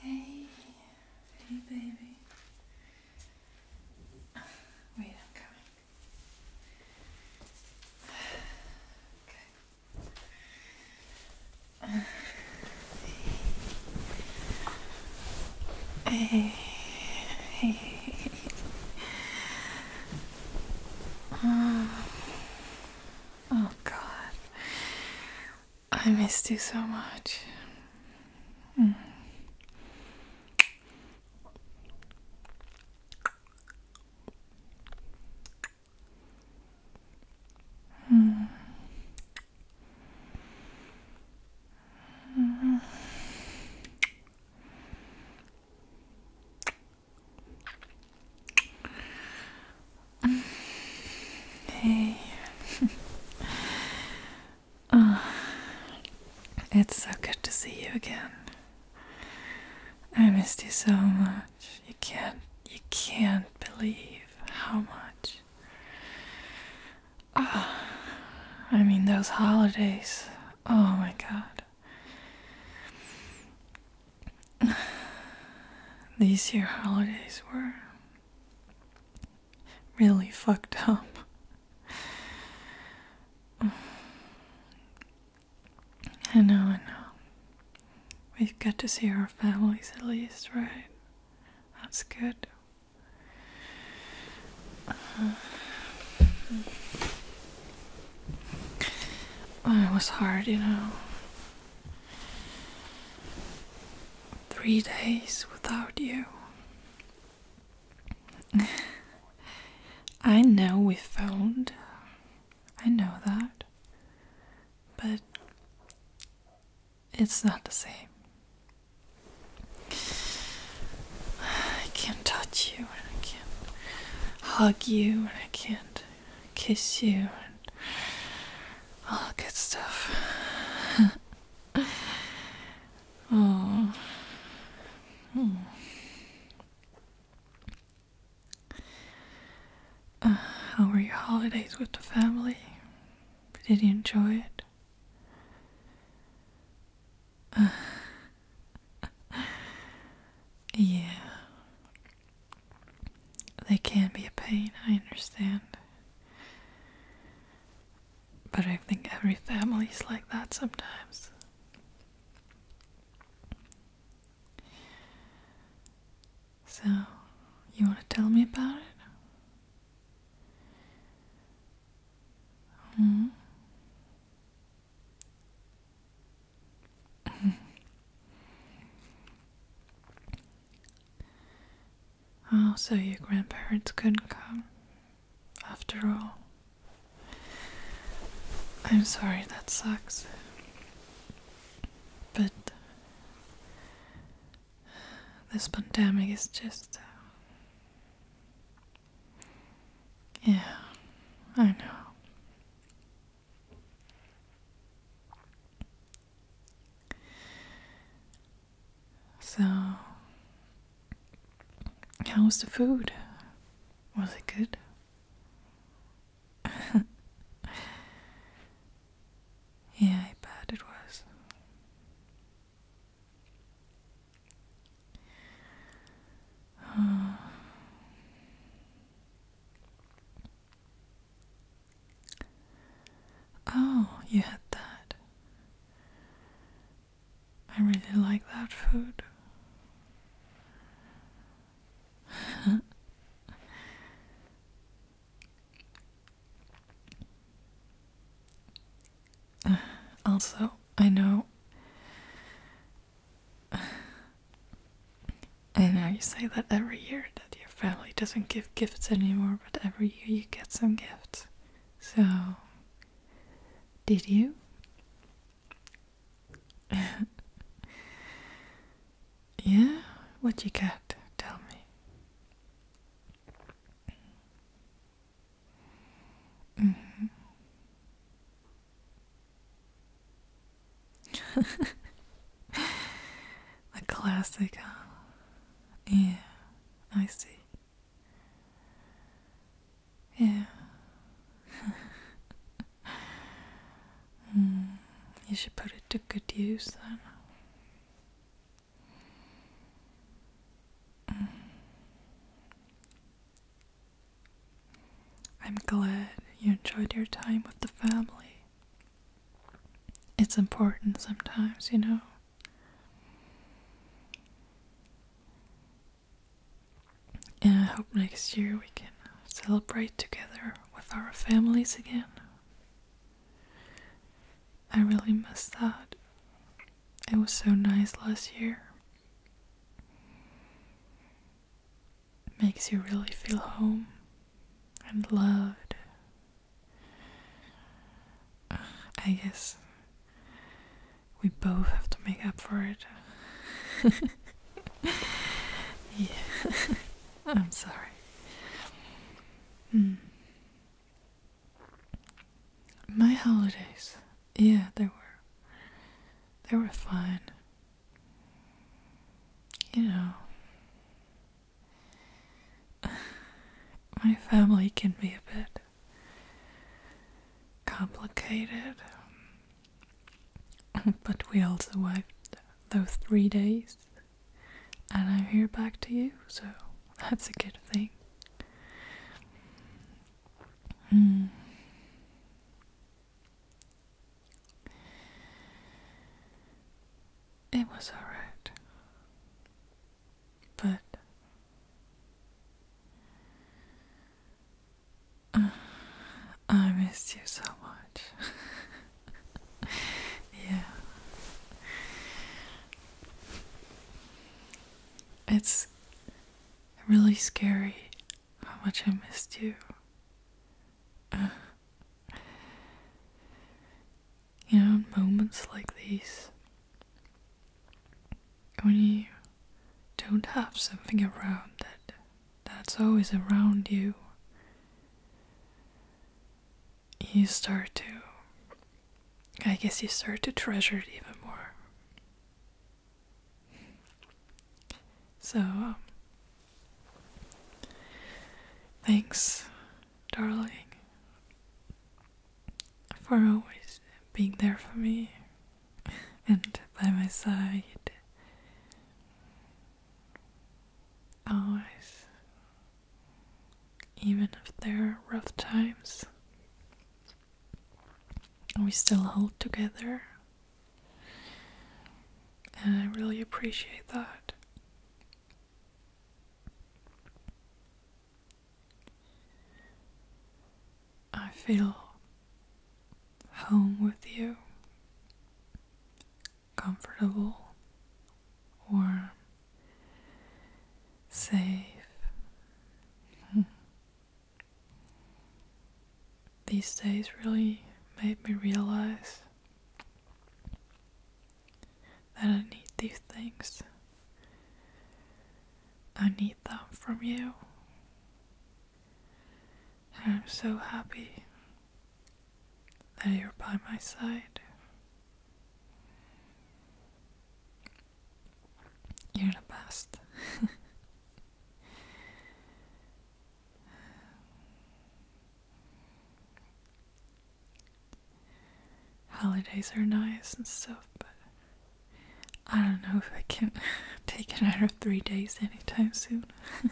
Hey, hey, baby. Wait, I'm coming. Okay. Hey, hey, oh God, I missed you so much. Mm. mm. Hey, it's so good to see you again. I missed you so much. You can't, you can't believe how much. Oh, I mean, those holidays. Oh my god. These year holidays were really fucked up. I know, I know. We've got to see our families at least, right? That's good it was hard, you know. Three days without you. I know we phoned. I know that. But it's not the same. I can't touch you, and I can't hug you, and I can't kiss you, and all good stuff. oh. Hmm. Uh, how were your holidays with the family? Did you enjoy it? yeah. They can be a pain, I understand. But I think every family's like that sometimes. So, you want to tell me about it? Mm. oh, so your grandparents couldn't come after all. I'm sorry, that sucks. But this pandemic is just uh, yeah, I know. So, how was the food? Was it good? yeah, bad it was. Oh, you had that. I really like that food. Also, I know. I know you say that every year that your family doesn't give gifts anymore, but every year you get some gifts. So, did you? yeah? What you got? Tell me. Mm-hmm. the classic, huh? Yeah, I see. Yeah. mm, you should put it to good use then. Mm. I'm glad you enjoyed your time with the family. It's important sometimes, you know. And I hope next year we can celebrate together with our families again. I really miss that. It was so nice last year. Makes you really feel home and loved. I guess we both have to make up for it. yeah, I'm sorry. Hmm. My holidays. Yeah, they were. They were fine. You know, my family can be a bit complicated, but we all survived those three days, and I'm here back to you, so that's a good thing. Hmm. It was alright. But uh, I missed you so much. yeah. It's really scary how much I missed you. Uh, you know, moments like these, when you don't have something around that that's always around you, you start to I guess you start to treasure it even more. So, um, thanks, darling, for always being there for me and by my side. Always, even if there are rough times we still hold together. And I really appreciate that. I feel home with you, comfortable, warm, safe. these days really made me realize that I need these things. I need them from you. I'm so happy that you're by my side. You're the best. Holidays are nice and stuff, but I don't know if I can take of three days anytime soon.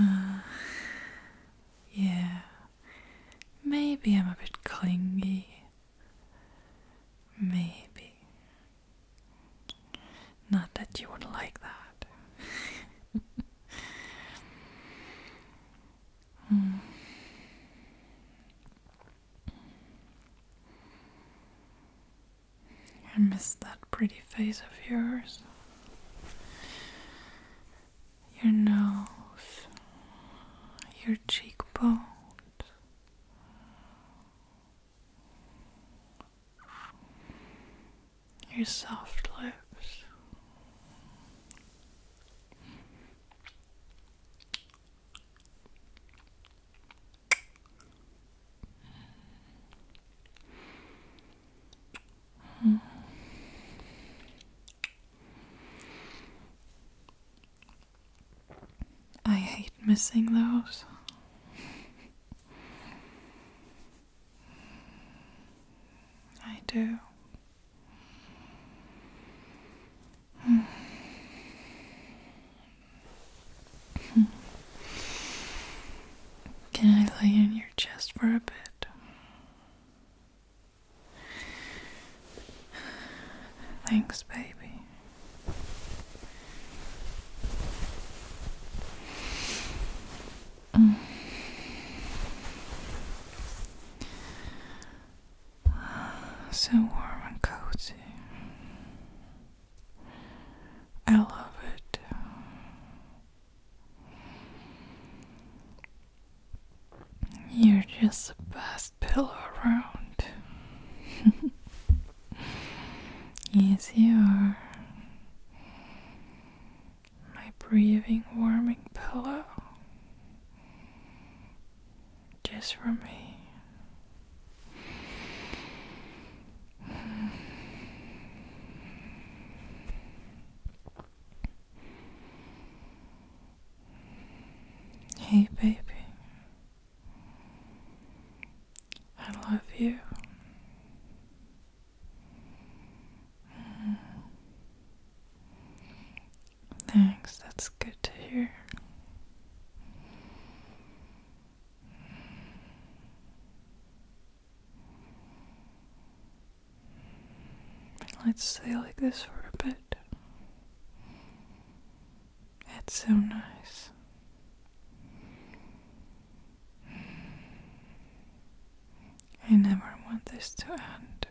Uh, yeah, maybe I'm a bit clingy. Maybe. Not that you would like that. Hmm. I miss that pretty face of yours. Your nose, your cheekbones, your soft lips. I hate missing those. I do. Can I lay on your chest for a bit? Thanks, baby. Mm. Ah, so warm and cozy. I love it. You're just the best pillow around. yes, you are. My breathing, warming pillow. Just for me. Hey, baby, I love you. Mm. Thanks, that's good to hear. Let's stay like this for a bit. That's so nice. I never want this to end.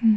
Hmm.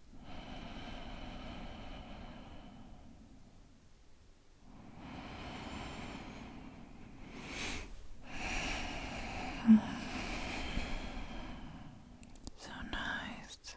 So nice.